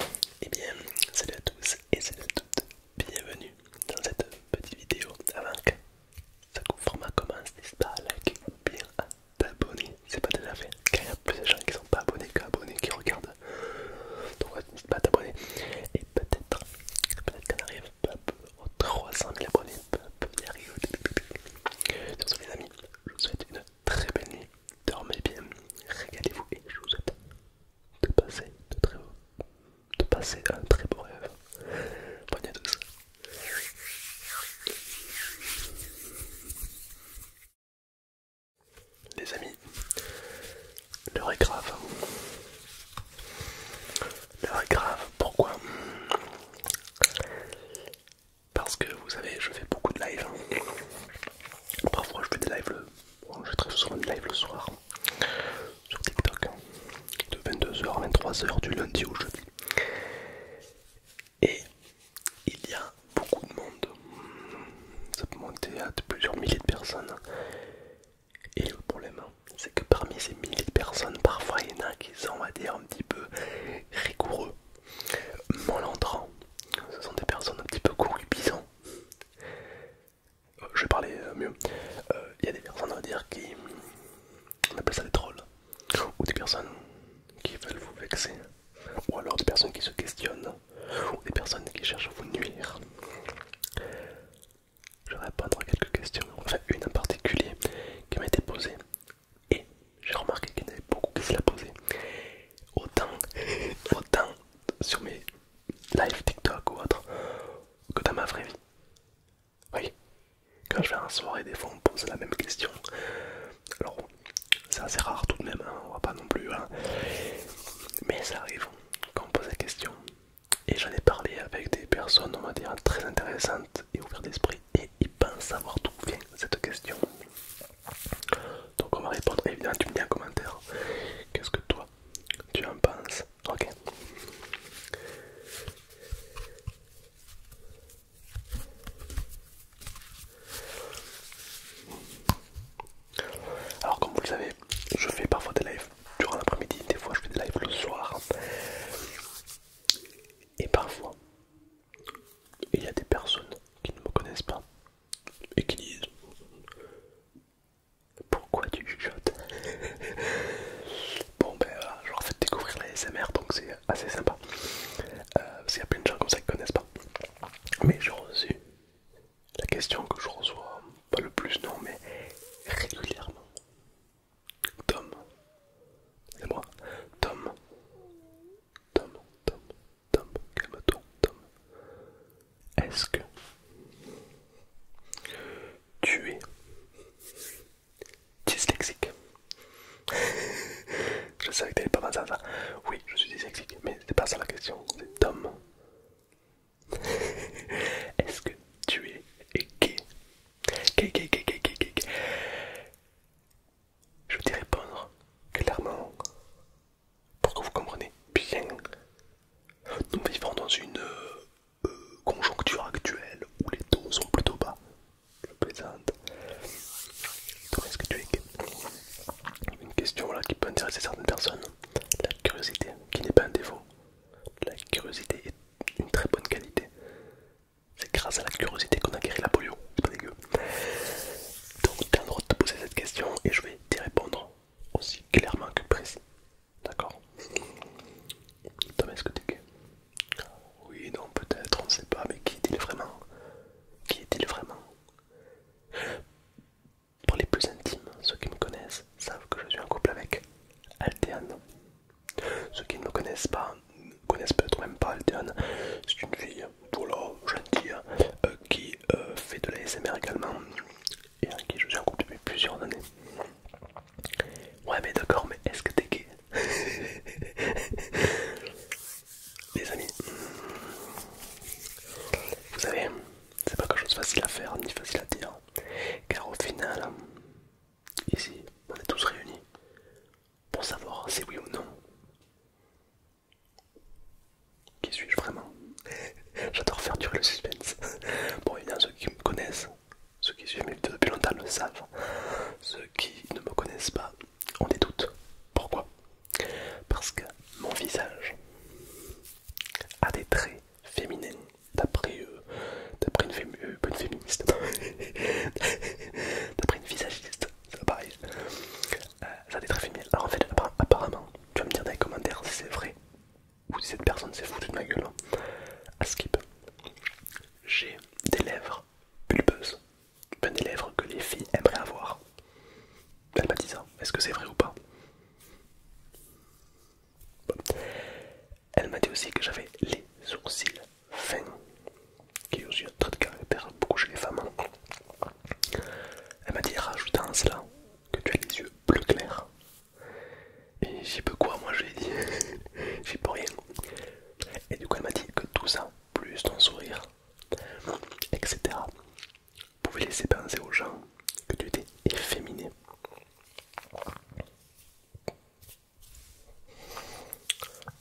Et eh bien, salut à tous et salut à toutes, bienvenue dans cette petite vidéo avant que ce format commence, n'hésite pas à liker ou bien à t'abonner, c'est pas déjà fait, car il y a plus de gens qui sont pas abonnés qu'abonnés qui regardent, donc n'hésite pas à t'abonner, et peut-être, peut-être qu'on arrive peu à peu aux 300 000 abonnés, peu à peu y arrive. les amis, je vous souhaite une très béni, dormez bien, régalez-vous et je vous souhaite de passer, de, très beau, de passer un très beau rêve. Bonne nuit à tous. Les amis, l'heure est grave. L'heure est grave, pourquoi Parce que vous savez, je fais beaucoup de live. Parfois je fais des lives le je très souvent une live le soir sur TikTok hein. de 22h à 23h du lundi au jeudi. Et il y a beaucoup de monde, ça peut monter à plusieurs milliers de personnes. Et le problème, hein, c'est que parmi ces milliers de personnes, parfois il y en a qui sont, on va dire, un petit peu rigoureux, malentrants. Ce sont des personnes un petit peu corrupisants euh, je vais parler euh, mieux. Il euh, y a des personnes, à dire, qui. On appelle ça des trolls. Ou des personnes qui veulent vous vexer. Ou alors des personnes qui se questionnent. Ou des personnes qui cherchent à vous nuire. Je vais répondre à quelques questions. Enfin, une en particulier qui m'a été posée. Et j'ai remarqué qu'il y en avait beaucoup qui se la posaient autant, autant sur mes live TikTok ou autre que dans ma vraie vie. Oui, quand je vais en soirée, des fois on me pose la même question. Alors, c'est assez rare tout de même, hein, on va pas non plus. Hein. Mais ça arrive qu'on me pose la question. Et j'en ai parlé avec des personnes, on va dire, très intéressantes et ouvertes d'esprit. Et ils pensent savoir d'où vient cette question. Donc on va répondre, évidemment tu me dis en commentaire qu'est-ce que toi tu en penses, ok alors comme vous le savez, je fais parfois des lives durant l'après-midi, des fois je fais des lives le soir et parfois il y a des personnes qui ne me connaissent pas et qui disent pourquoi tu chuchotes Bon ben voilà, je leur fait découvrir les SMR donc c'est assez sympa. Euh, parce qu'il y a plein de gens comme ça qui connaissent pas. Mais j'ai reçu la question que je reçois, pas le plus non mais régulièrement. Tom, c'est moi, Tom, Tom, Tom, Tom, calme-toi, Tom. Est-ce que tu es dyslexique Je savais que t'allais pas penser à ça. Oui, je suis dyslexique, mais c'est pas ça la question, c'est Tom. Est-ce que tu es gay Gay, gay, gay, Je veux te répondre clairement pour que vous compreniez bien. Nous vivons dans une euh, euh, conjoncture actuelle où les taux sont plutôt bas. Je plaisante. ce que tu es une question là qui peut intéresser certaines personnes La curiosité, qui n'est pas un défaut. La curiosité est une très bonne qualité. C'est grâce à la curiosité qu'on a guéri la polio. C'est pas dégueu. Donc t'as le droit de te poser cette question et je vais vais répondre aussi clairement que précis. D'accord Thomas, est-ce que tu es Oui, non, peut-être, on ne sait pas, mais qui est-il vraiment Qui est-il vraiment Pour les plus intimes, ceux qui me connaissent savent que je suis en couple avec Altéane. Ceux qui ne me connaissent pas, ne connaissent peut-être même pas Altéane. C'est une fille voilà, gentil, euh, qui euh, fait de la également et à qui je suis en couple depuis plusieurs années. Ouais, mais d'accord, mais est-ce que t'es gay Les amis, vous savez, c'est pas quelque chose facile à faire ni facile à dire, car au final, ici, on est tous réunis pour savoir si oui ou non qui suis-je vraiment J'adore faire durer le suspense. Bon, évidemment, ceux qui me connaissent, ceux qui suivent mes vidéos depuis longtemps le savent. Ceux qui ne me connaissent pas, on des doutes. Pourquoi Parce que mon visage a des traits féminins, d'après euh, d'après une, bonne euh, féministe, d'après une visagiste, c'est pareil. Euh, ça ça été très féminin. Alors en fait, apparemment, tu vas me dire dans les commentaires si c'est vrai ou si cette personne s'est foutue de ma gueule. Hein. À skip, j'ai des lèvres pulpeuses, ben, des lèvres que les filles aimeraient avoir. Ben, elle m'a dit ça, est-ce que c'est vrai ou pas Elle m'a dit aussi que j'avais les sourcils fins, qui est aussi un trait de caractère beaucoup chez les femmes. Hein. Elle m'a dit rajoute un cela que tu as les yeux bleu clair. Et j'ai peu quoi moi j'ai dit j'ai pas rien. Et du coup elle m'a dit que tout ça, plus ton sourire, etc. pouvait laisser penser aux gens que tu étais efféminé.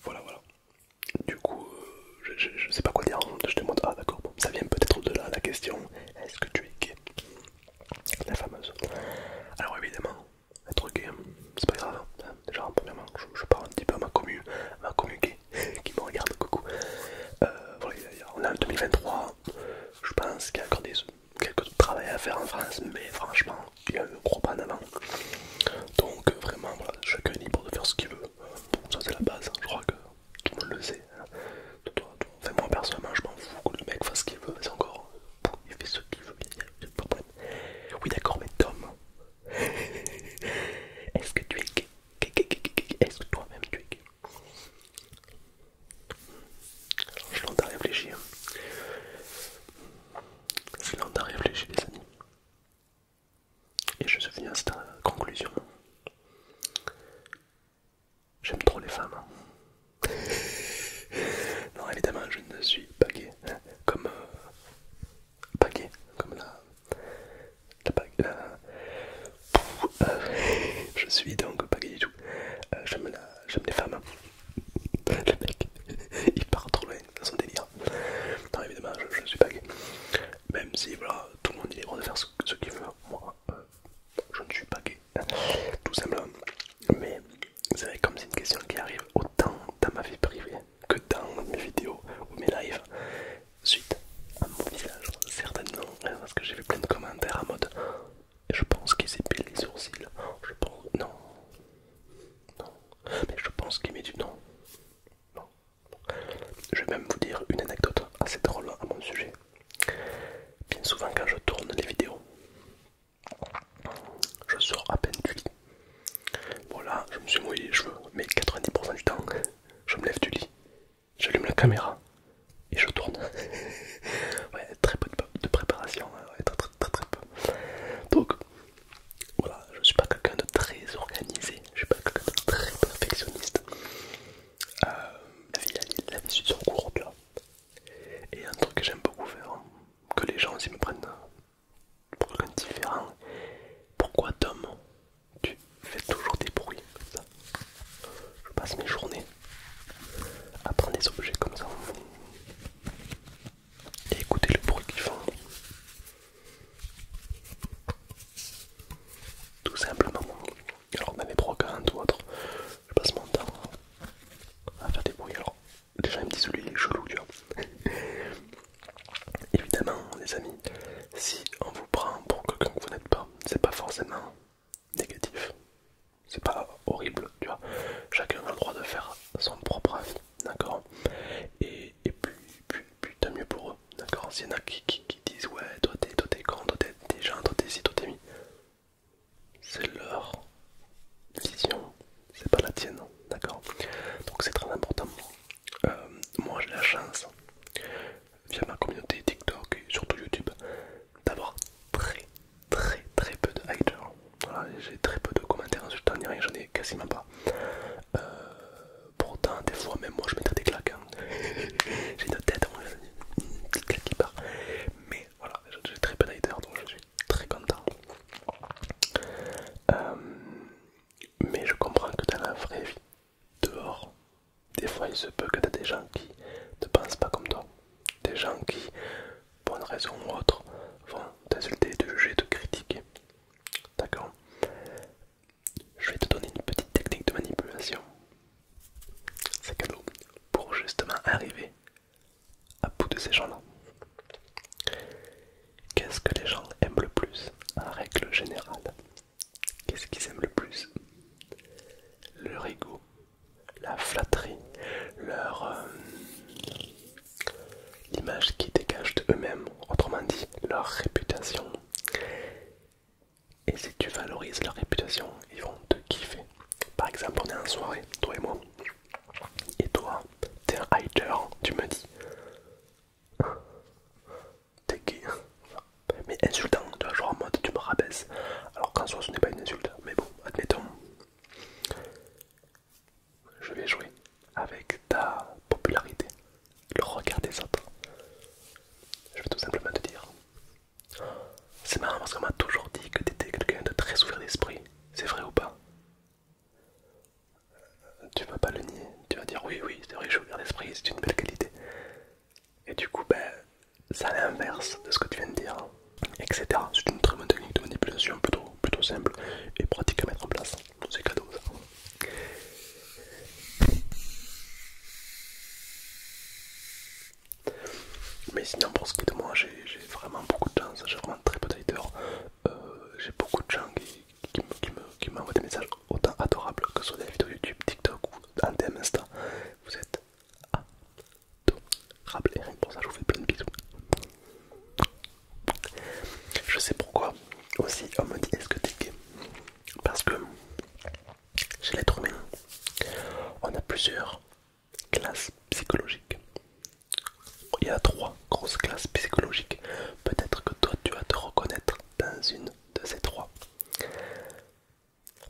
Voilà voilà. Du coup, euh, je sais pas quoi dire, je te demande, ah d'accord, ça vient peut-être de la question, est-ce que tu es gay La fameuse. Alors évidemment, être gay, hein, c'est pas grave, hein. déjà premièrement, je, parle un petit peu à ma commune ma commune qui me regarde, coucou. Euh, on est en 2023, je pense qu'il y a encore des, quelques travail à faire en France, mais franchement, il y a un gros pas en avant. Donc euh, vraiment, voilà, chacun est libre de faire ce qu'il veut, ça c'est la base, hein. je crois que tout le monde le sait. Hein. Enfin, moi personnellement, je m'en fous que le mec fasse ce qu'il veut, c'est encore. Il fait ce qu'il veut, il n'y a pas de problème. Oui, d'accord, mais Tom, est-ce que tu es gay Est-ce que toi-même tu es gay Je l'entends réfléchir. Je l'entends réfléchir, les amis. Et je suis venu à cette conclusion. J'aime trop les femmes. non, évidemment, je ne suis pas gay. Hein, comme. Euh, pas gay. Comme la. la, euh, je suis donc pas gay du tout. Euh, la, J'aime les femmes. Le mec, il part trop loin dans son délire. Non, évidemment, je ne suis pas gay. Même si, voilà, tout le monde est libre de faire ce, qu'il veut. Moi, euh, je ne suis pas gay, tout simplement. Mais vous savez, comme c'est une question qui arrive autant dans ma vie privée que dans mes vidéos ou mes lives, suite à mon visage, certainement, hein, parce que j'ai vu plein de commentaires en mode je pense qu'il s'épile les sourcils, je pense. Non, non, mais je pense qu'il met du. Non, non, je vais même vous dire une anecdote assez drôle à mon sujet. Bien souvent quand je tourne les vidéos, je sors à peine du lit. Voilà, je me suis mouillé les cheveux, mais 90% du temps, je me lève du lit, j'allume la caméra et je tourne. ouais, très peu de préparation, hein, très, très, très, très peu. Donc, voilà, je suis pas quelqu'un de très organisé, je suis pas quelqu'un de très perfectionniste. Euh, la vie, la, la vie sur Et un truc que j'aime beaucoup faire, hein, que les gens aussi me prennent pour rien de différent. Pourquoi, Tom, tu fais toujours des bruits comme ça Je passe mes journées à prendre des objets comme ça et écouter le bruit qu'ils font. Tout simplement. Alors dans les des ou autre, je passe mon temps à faire des bruits. Alors déjà, un petit dit il est chelou, tu vois. Évidemment, les amis, si on vous prend pour quelqu'un que vous n'êtes pas, c'est pas forcément négatif. C'est pas horrible, tu vois. Chacun a le droit de faire son propre avis, d'accord et, et puis putain mieux pour eux, d'accord S'il y en a qui, disent ouais, toi t'es toi t'es con, toi t'es gens, toi t'es si, toi t'es mi. C'est leur vision, c'est pas la tienne, hein, d'accord Donc c'est très important. Euh, moi j'ai la chance, via ma communauté TikTok et surtout YouTube, d'avoir très très très peu de haters. j'ai très peu de commentaires insultants ni rien, j'en ai quasiment pas. Euh, pourtant des fois même moi je mettrais des claques hein. J'ai j'ai la tête hein, mais voilà j'ai très peu donc je suis très content euh, mais je comprends que dans la vraie vie dehors des fois il se peut que tu t'as des gens qui ne pensent pas comme toi des gens qui pour une raison ou autre vont t'insulter te juger te critiquer d'accord je vais te donner une petite technique de manipulation. C'est cadeau pour justement arriver à bout de ces gens-là. Qu'est-ce que les gens aiment le plus en règle générale Qu'est-ce qu'ils aiment le plus Leur ego, la flatterie, leur euh, l'image qu'ils dégagent d'eux-mêmes, autrement dit leur réputation. Et si tu valorises leur réputation, ils vont te kiffer. Par exemple, on est en soirée, toi et moi. Et toi, t'es un hater, tu me dis. T'es gay ». Mais insultant, tu vas genre en mode tu me rabaisse. Alors qu'en soi, ce n'est pas une insulte, mais bon, admettons. Je vais jouer avec ta popularité le regard des autres. Je vais tout simplement te dire. C'est marrant parce qu'on m'a toujours dit que étais quelqu'un de très ouvert d'esprit. C'est vrai ou pas Tu vas pas le nier. Tu vas dire oui, oui, c'est vrai, je ouvert d'esprit, c'est une belle qualité. Et du coup, ben, ça à l'inverse de ce que tu viens de dire, etc. C'est une très bonne technique de manipulation plutôt, plutôt simple et pratique à mettre en place. C'est cadeau cadeaux. Mais sinon, pour ce qui est de moi, j'ai vraiment beaucoup de chance, j'ai vraiment très peu de Euh, j'ai beaucoup de gens qui, m'envoient des messages autant adorables que sur des vidéos YouTube, TikTok ou Anthem, Insta. Vous êtes adorables et rien pour ça, je vous fais plein de bisous. Je sais pourquoi aussi on me dit est-ce que t'es gay parce que chez l'être humain, on a plusieurs classes psychologiques. Il y a trois grosses classes psychologiques. Peut-être que toi, tu vas te reconnaître dans une de ces trois.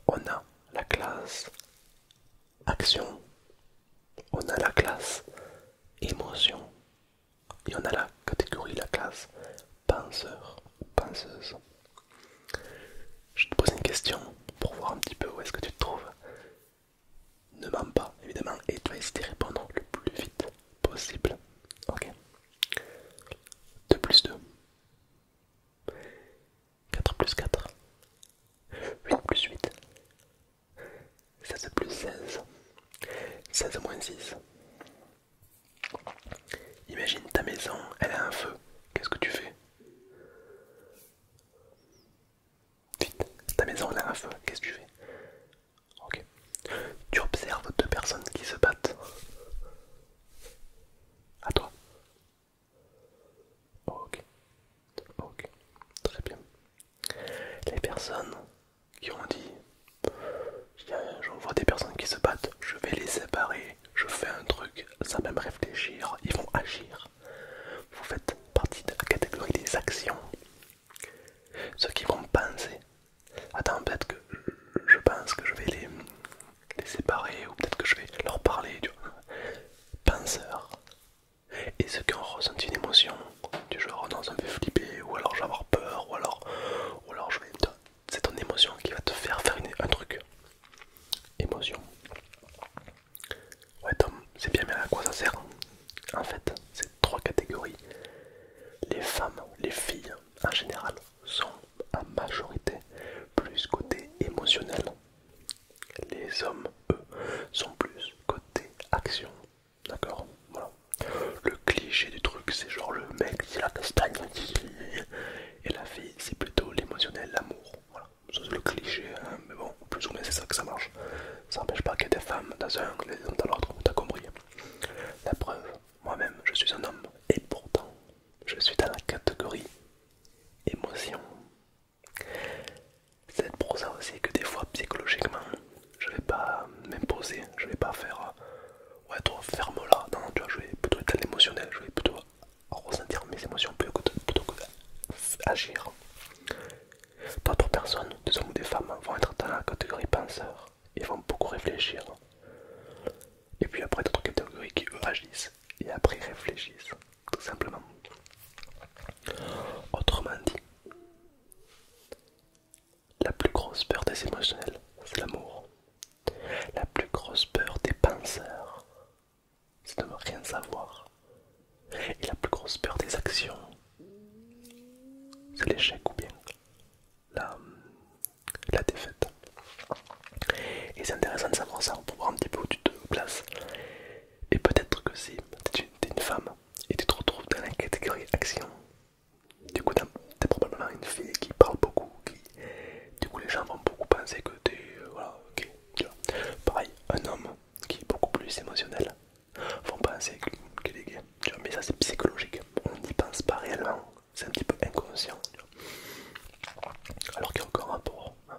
On a la classe action, on a la classe émotion y en a la catégorie, la classe penseur ou penseuse. Je te pose une question pour voir un petit peu où est-ce que tu te trouves. Ne mens pas, évidemment, et tu vas essayer de répondre le plus vite possible. Ok 2 plus 2. 4 plus 4. 8 plus 8. 16 plus 16. 16 moins 6. Imagine ta maison, elle a un feu. Qu'est-ce que tu fais Vite, ta maison, elle a un feu. Qu'est-ce que tu fais Ok. Tu observes deux personnes qui se battent. À toi. Ok. Ok. Très bien. Les personnes qui ont dit j'en vois des personnes qui se battent, je vais les séparer, je fais un truc sans même réfléchir, ils vont agir. Vous faites partie de la catégorie des actions. Ceux qui vont penser, attends peut-être que je pense que je vais les, séparer ou peut-être que je vais leur parler, tu Penseurs. Et ceux qui ont ressenti une émotion, du genre non ça me fait flipper, ou alors je vais avoir peur, ou alors, ou alors je vais c'est ton émotion qui va te faire faire un truc. Émotion. Ouais Tom, c'est bien mais à quoi ça sert hein En fait, c'est trois catégories, les femmes, les filles en général, sont à majorité plus côté émotionnel. Les hommes, eux, sont plus côté action. D'accord Voilà. Le cliché du truc, c'est genre le mec, c'est la castagne, et la fille, c'est plutôt l'émotionnel, l'amour. Voilà, c'est le cliché, hein, mais bon, plus ou moins c'est ça que ça marche. Ça n'empêche pas qu'il y ait des femmes dans un, angle dans l'autre, t'as compris. La preuve, moi-même, je suis un homme, et pourtant, je suis dans la catégorie émotion. C'est pour ça aussi que des fois, psychologiquement, je vais pas m'imposer, je vais pas faire ouais toi ferme là non, tu je vais plutôt être émotionnel, je vais plutôt ressentir mes émotions plutôt que, plutôt d'autres personnes des hommes ou des femmes vont être dans la catégorie penseur et vont beaucoup réfléchir et puis après d'autres catégories qui agissent et après réfléchissent tout simplement autrement dit la plus grosse peur des émotionnels, c'est l'amour. La plus grosse peur des penseurs, c'est de ne rien savoir. Et la plus grosse peur des actions, c'est l'échec ou bien la, la défaite. Et c'est intéressant de savoir ça pour voir un petit peu où tu te places. Et peut-être que si tu es une, femme et tu te retrouves dans la catégorie action, du coup, t'es probablement une fille qui parle beaucoup, qui... Du coup, les gens vont beaucoup penser que t'es... gay. Euh, Pareil, un homme qui est beaucoup plus émotionnel vont penser qu'il est gay, Mais ça, c'est psychologique. On n'y pense pas réellement. C'est un petit peu inconscient, Alors qu'il y a encore rapport. Hein.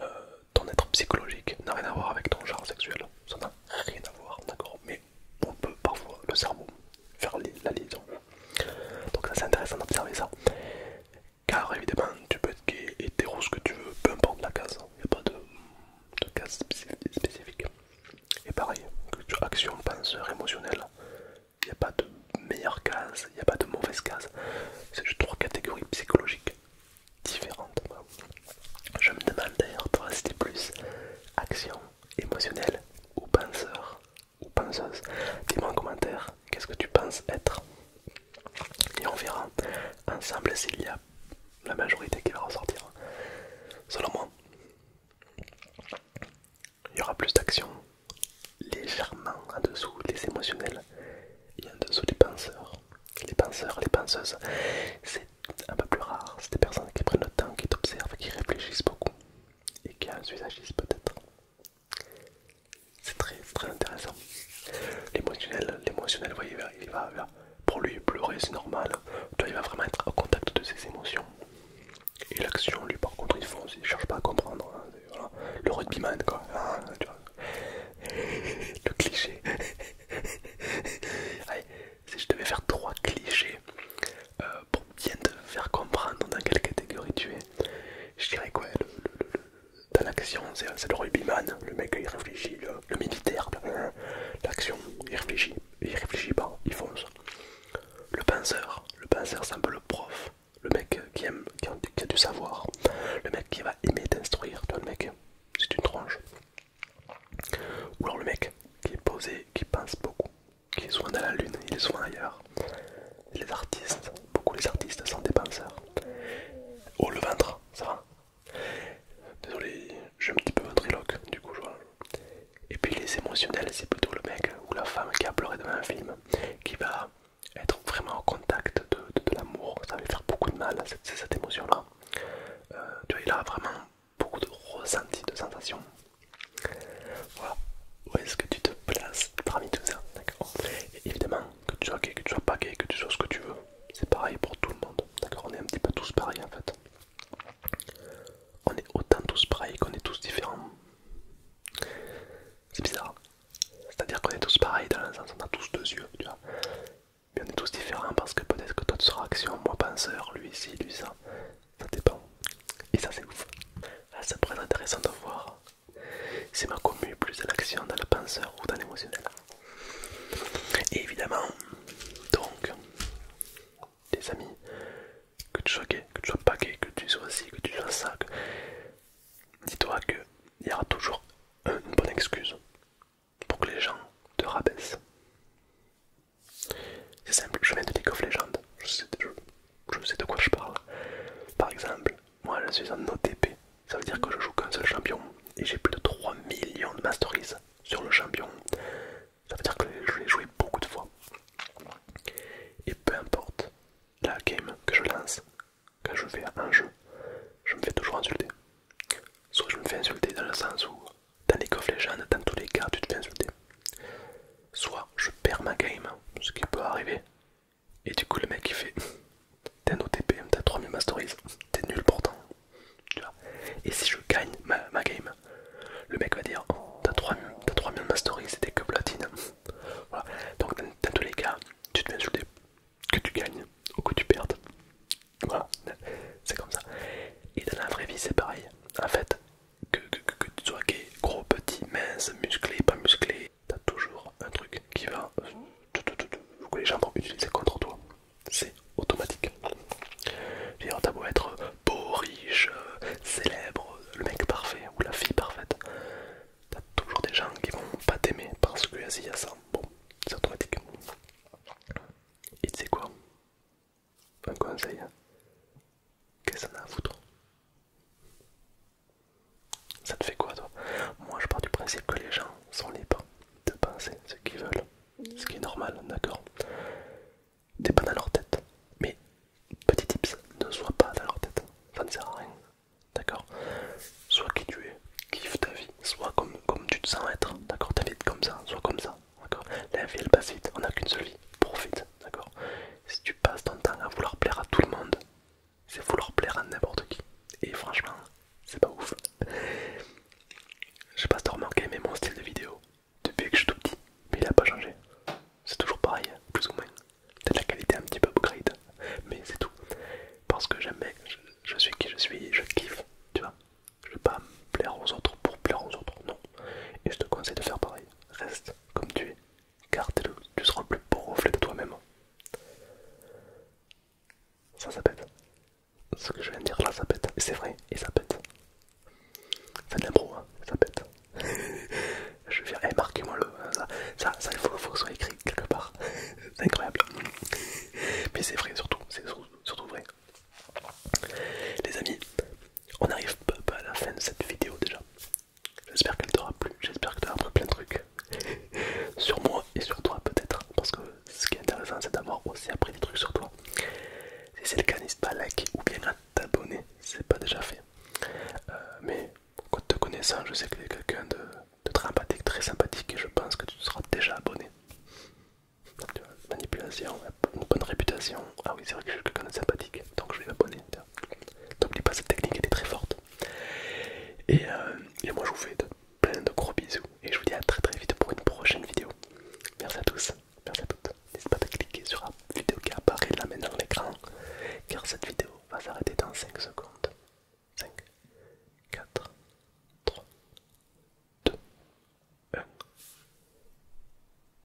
Euh, ton être psychologique n'a rien à voir avec ton genre sexuel. Ça n'a rien à voir, d'accord on peut parfois le cerveau faire la liaison. Donc ça c'est intéressant d'observer ça. Car évidemment tu peux être gay, hétéro, ce que tu veux, peu importe la case, il hein. n'y a pas de, case spécifique. Et pareil, action, penseur, émotionnel, il n'y a pas de meilleure case, il n'y a pas de mauvaise case. C'est juste trois catégories psychologiques différentes. Je me demande d'ailleurs toi c'était plus action, émotionnel ou penseur ou penseuse. Dis-moi en commentaire qu'est-ce que tu penses être. Et on verra ensemble s'il y a la majorité qui va ressortir. Selon moi, il y aura plus d'action légèrement en dessous les émotionnels et en dessous les penseurs. Les penseurs, les penseuses, c'est un peu plus rare. C'est des personnes qui prennent le temps, qui t'observent, qui réfléchissent beaucoup et qui a un peut-être. C'est très, très intéressant. L'émotionnel, l'émotionnel, voyez, il pour lui pleurer c'est normal. Toi, il va vraiment être au contact de ses émotions. Et l'action, lui, par contre, il il cherche pas à comprendre. Hein, Le rugbyman, quoi. Hein, Le cliché. si je devais faire trois clichés euh, pour bien te faire comprendre dans quelle catégorie tu es, je dirais quoi Dans l'action, c'est le rugbyman, le mec il réfléchit, le, militaire, l'action, il réfléchit, il réfléchit pas, il fonce. Le penseur, le penseur c'est un peu le prof, le mec qui aime, qui a, du savoir, le mec qui va aimer t'instruire, le mec, c'est une tranche. Ou alors le mec qui est posé, qui pense beaucoup, qui est souvent dans la lune, il est souvent ailleurs. Les artistes, beaucoup les artistes sont des penseurs. Oh le ventre, ça va Désolé, j'ai un petit peu ventriloque, du coup Et puis les émotionnels, c'est plutôt le mec ou la femme qui a pleuré devant un film, qui va être vraiment en contact de, l'amour. Ça va lui faire beaucoup de mal, cette, cette émotion-là. Euh, tu vois, il a vraiment beaucoup de ressentis, de sensations. Voilà, où est-ce que tu te places parmi tout ça, d'accord Et évidemment, que tu sois gay, que tu sois pas gay, que tu sois ce que tu veux, c'est pareil pour tout le monde, d'accord On est un petit peu tous pareils en fait. On est autant tous pareils qu'on est tous différents. C'est bizarre. C'est-à-dire qu'on est tous pareils dans le sens, on a tous deux yeux, tu vois. Mais on est tous différents parce que peut-être que toi tu seras action, moi penseur, lui ici, lui ça ça dépend. Et ça c'est ouf. Ah, ça pourrait être intéressant de voir si ma commu plus à l'action, dans le penseur ou dans l'émotionnel. Et évidemment, donc, les amis, que tu sois gay, que tu sois pas que tu sois ci, que tu sois ça, dis-toi qu'il y aura toujours une bonne excuse pour que les gens te rabaissent. C'est simple, je viens de League of Legends, je sais, de quoi je parle. Par exemple, moi je suis en OTP, ça veut dire que je joue qu'un seul champion et j'ai plus de 3 millions de masteries sur le champion. Ça veut dire que je l'ai joué beaucoup de fois. Et peu importe la game que je lance, quand je fais un jeu, je me fais toujours insulter. Soit je me fais insulter dans le sens où, dans les of Legends, dans tous les cas, tu te fais insulter soit je perds ma game, ce qui peut arriver, et du coup le mec il fait t'as un OTP, t'as 3000 masteries, t'es nul pourtant. et si je gagne ma, game, le mec va dire oh, t'as 3000, 3000 masteries, c'était que platine. Donc dans, tous les cas, tu te fais insulter, que tu gagnes ou que tu perdes. Voilà, c'est comme ça. Et dans la vraie vie c'est pareil. En fait, que, tu sois gros, petit, mince, musclé, pas musclé, t'as toujours un truc qui va que les gens vont utiliser contre toi. C'est automatique. T'as beau être beau, riche, célèbre, le mec parfait ou la fille parfaite, t'as toujours des gens qui vont pas t'aimer parce que y a ça. Bon, c'est automatique. Et tu sais quoi un conseil. Hein. Qu'est-ce que ça a à foutre Ça te fait quoi toi Moi je pars du principe que les gens sont libres de penser ce qu'ils veulent. Ce qui est normal, d'accord T'es pas dans leur tête. Mais petit tips, ne sois pas dans leur tête. Ça ne sert à rien. D'accord Sois qui tu es, kiffe ta vie, Soit comme, tu te sens être, d'accord Ta vie comme ça, Soit comme ça d'accord La vie elle passe vite, on n'a qu'une seule vie, profite, d'accord Si tu passes ton temps à vouloir plaire à tout le monde, c'est vouloir plaire à n'importe qui. Et franchement, c'est pas ouf. Je sais pas si t'as remarqué, mais mon style de vidéo, depuis que je suis tout petit, il a pas changé. C'est toujours pareil, hein, plus ou moins. peut de la qualité un petit peu upgrade, mais c'est tout. Parce que j'aime, je, suis qui je suis, je kiffe, tu vois. Je veux pas plaire aux autres pour plaire aux autres, non. Et je te conseille de faire pareil reste comme tu es, car le, tu seras le plus beau reflet de toi-même. Ça, ça pète. Ce que je viens de dire là, ça pète. C'est vrai, et ça pète. Ça l'impro, hein, ça pète. je vais dire, eh, marquez-moi le. Euh, ça, il faut, que ce soit écrit quelque part. c'est incroyable. Mais c'est vrai, surtout, c'est surtout vrai. Les amis, on arrive pas à la fin de cette vidéo déjà. J'espère qu'elle t'aura plu, j'espère que tu as appris plein de trucs sur moi et sur toi peut-être, parce que ce qui est intéressant c'est d'avoir aussi appris des trucs sur toi. Si c'est le cas, n'hésite pas à liker ou bien à t'abonner c'est pas déjà fait. Euh, mais quand te connaissant, je sais que tu es quelqu'un de, très très sympathique et je pense que tu seras déjà abonné. Manipulation, une bonne réputation. Ah oui, c'est vrai que je suis quelqu'un de sympathique, donc je vais m'abonner. N'oublie pas cette technique, elle est très forte. Euh, et, moi je vous fais plein de gros bisous et je vous dis à très très vite pour une prochaine vidéo. Merci à tous, merci à toutes. n'hésitez pas à cliquer sur la vidéo qui apparaît là maintenant à l'écran, car cette vidéo va s'arrêter dans 5 secondes. 5, 4, 3, 2, 1.